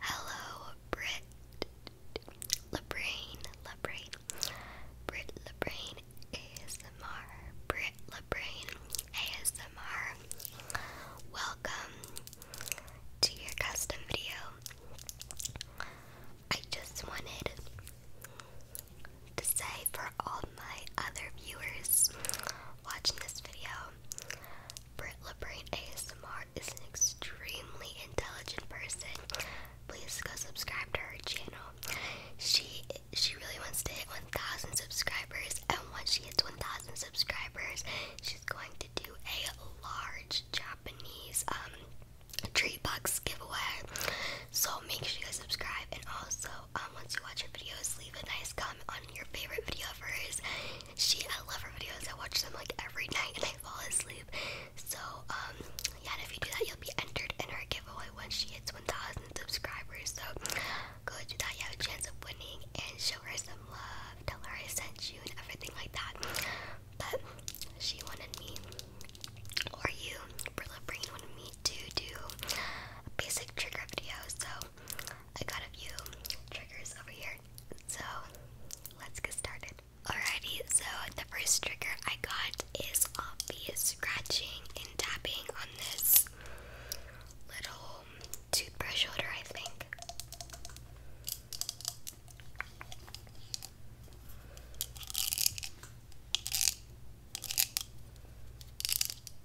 Hello, Brit LaBrain, LaBrain, Brit LaBrain ASMR, Brit LaBrain ASMR. Welcome to your custom video. I just wanted to say for all my other viewers watching this video, Brit LaBrain ASMR is an extremely intelligent person. Please go subscribe to her channel. She she really wants to hit 1,000 subscribers, and once she hits 1,000 subscribers, she's going to do a large Japanese um treat box giveaway. So make sure you guys subscribe, and also um, once you watch her videos, leave a nice comment on your favorite video of hers she I love her videos. I watch them like every night and I fall asleep. So um yeah, if you do that, you'll be entered in her giveaway when she hits 1,000 subscribers. So go do that. You have a chance of winning and show her some love. Tell her I sent you and everything like that. But she wanted me or you, Brilla Brain wanted me to do a basic trigger video. So I got a few triggers over here, so let's get started. Alrighty, so the first trigger I got is obvious scratching and tapping on this little toothbrush holder, I think.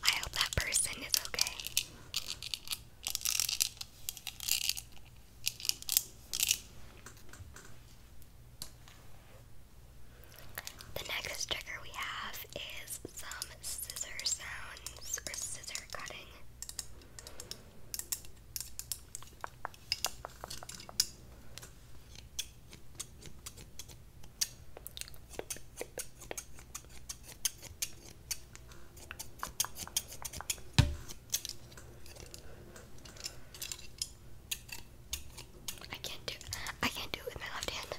I hope that person is okay. The next trigger we have is some scissor sounds or scissor cutting. I can't do it. I can't do it with my left hand.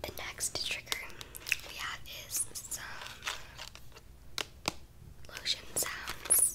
The next trigger we have is some lotion sounds.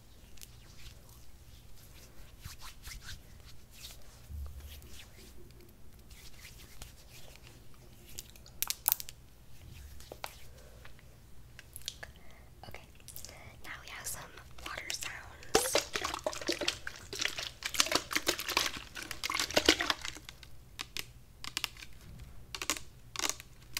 Okay, now we have some water sounds.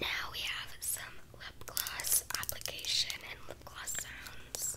Now we have some lip gloss application and lip gloss sounds.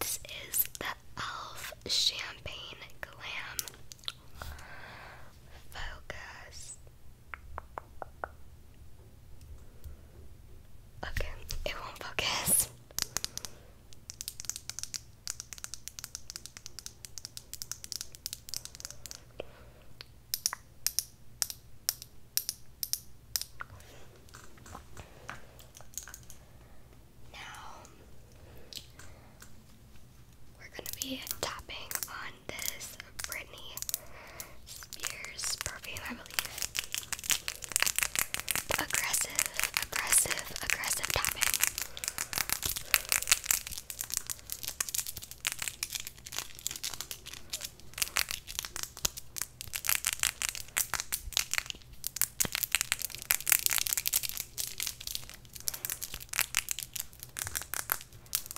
This is the Elf Champagne Glam Focus Okay, it won't focus. Now we're going to be tapping on this Britney Spears perfume, I believe. Aggressive, aggressive, aggressive tapping.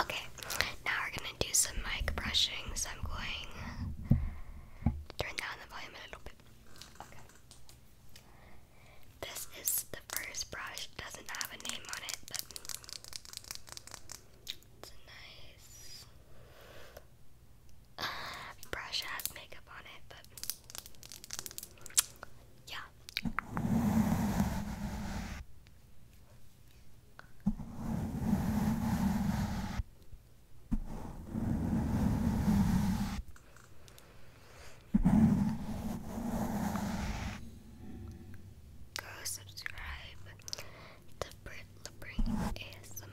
Okay, now we're gonna do some mic brushing, so I'm going to turn down the volume a little bit. This is the first brush, doesn't have a name on it, but it's a nice uh, brush, has makeup on it, but yeah, Go subscribe to Brit Labring ASMR.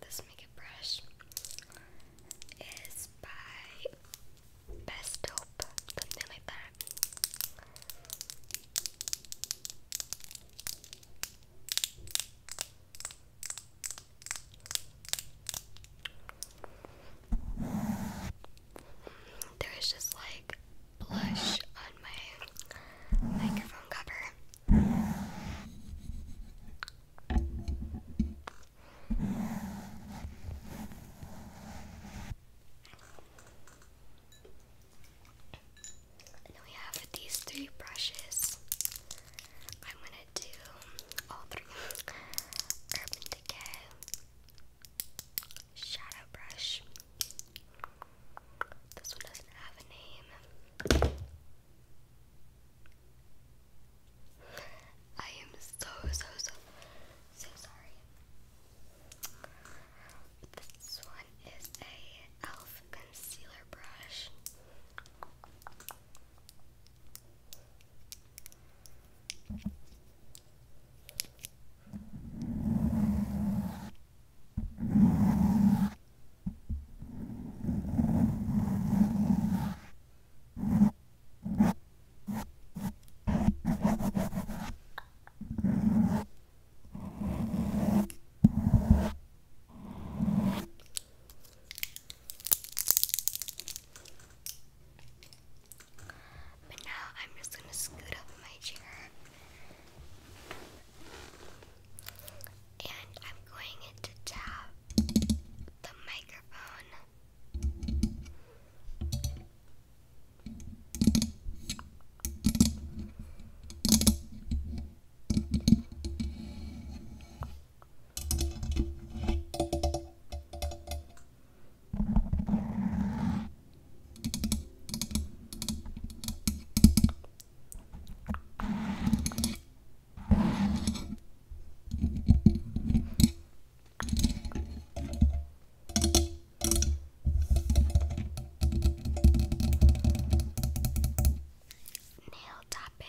This makeup brush is by Best Hope, something like that. There's just like blush on my microphone cover. And we have these three brushes. I'm gonna do all three Urban Decay Shadow Brush this one doesn't have a name. I am so, so, so, so sorry. This one is a e.l.f. concealer brush. But now I'm just going to scoot up my chair and I'm going to tap the microphone. Nail tapping.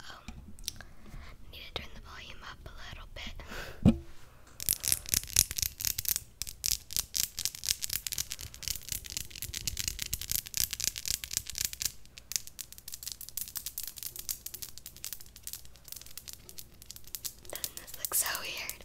Um, need to turn the volume up a little bit. Doesn't this look so weird?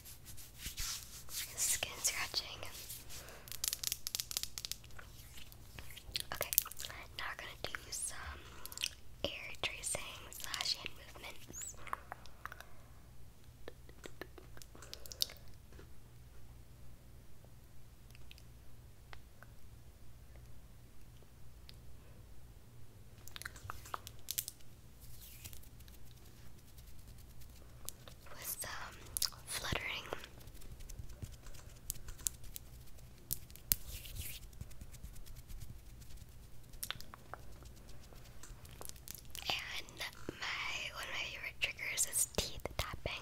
Skin scratching. Okay, now we're gonna do some air tracing slash hand movements with um, fluttering. And my one of my favorite triggers is teeth tapping.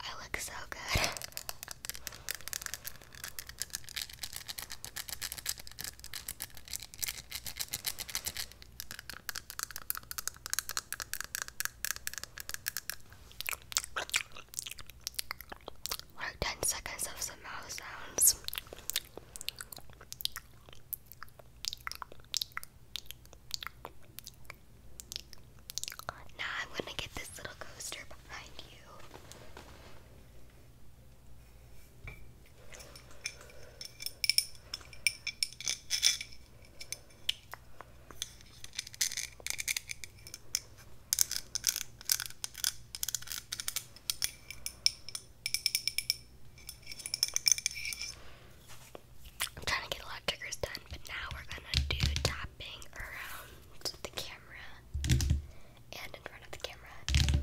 I look so good. Like 10 seconds of some mouth sounds. Now I'm gonna get this little coaster behind you. I'm trying to get a lot of triggers done, but now we're gonna do tapping around the camera and in front of the camera.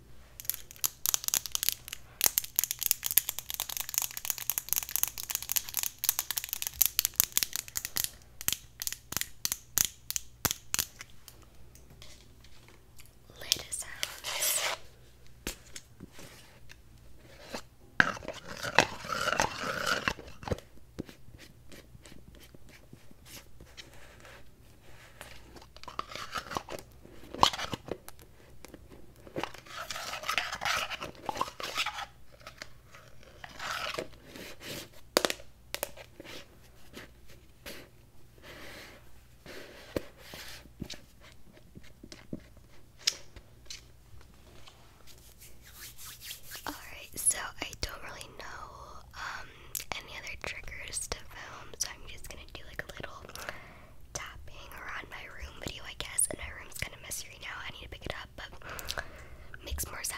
Later sounds. All right, so I don't really know um, any other triggers to film, so I'm just gonna do like a little tapping around my room video, I guess. And my room's kind of messy right now. I need to pick it up, but makes more sound.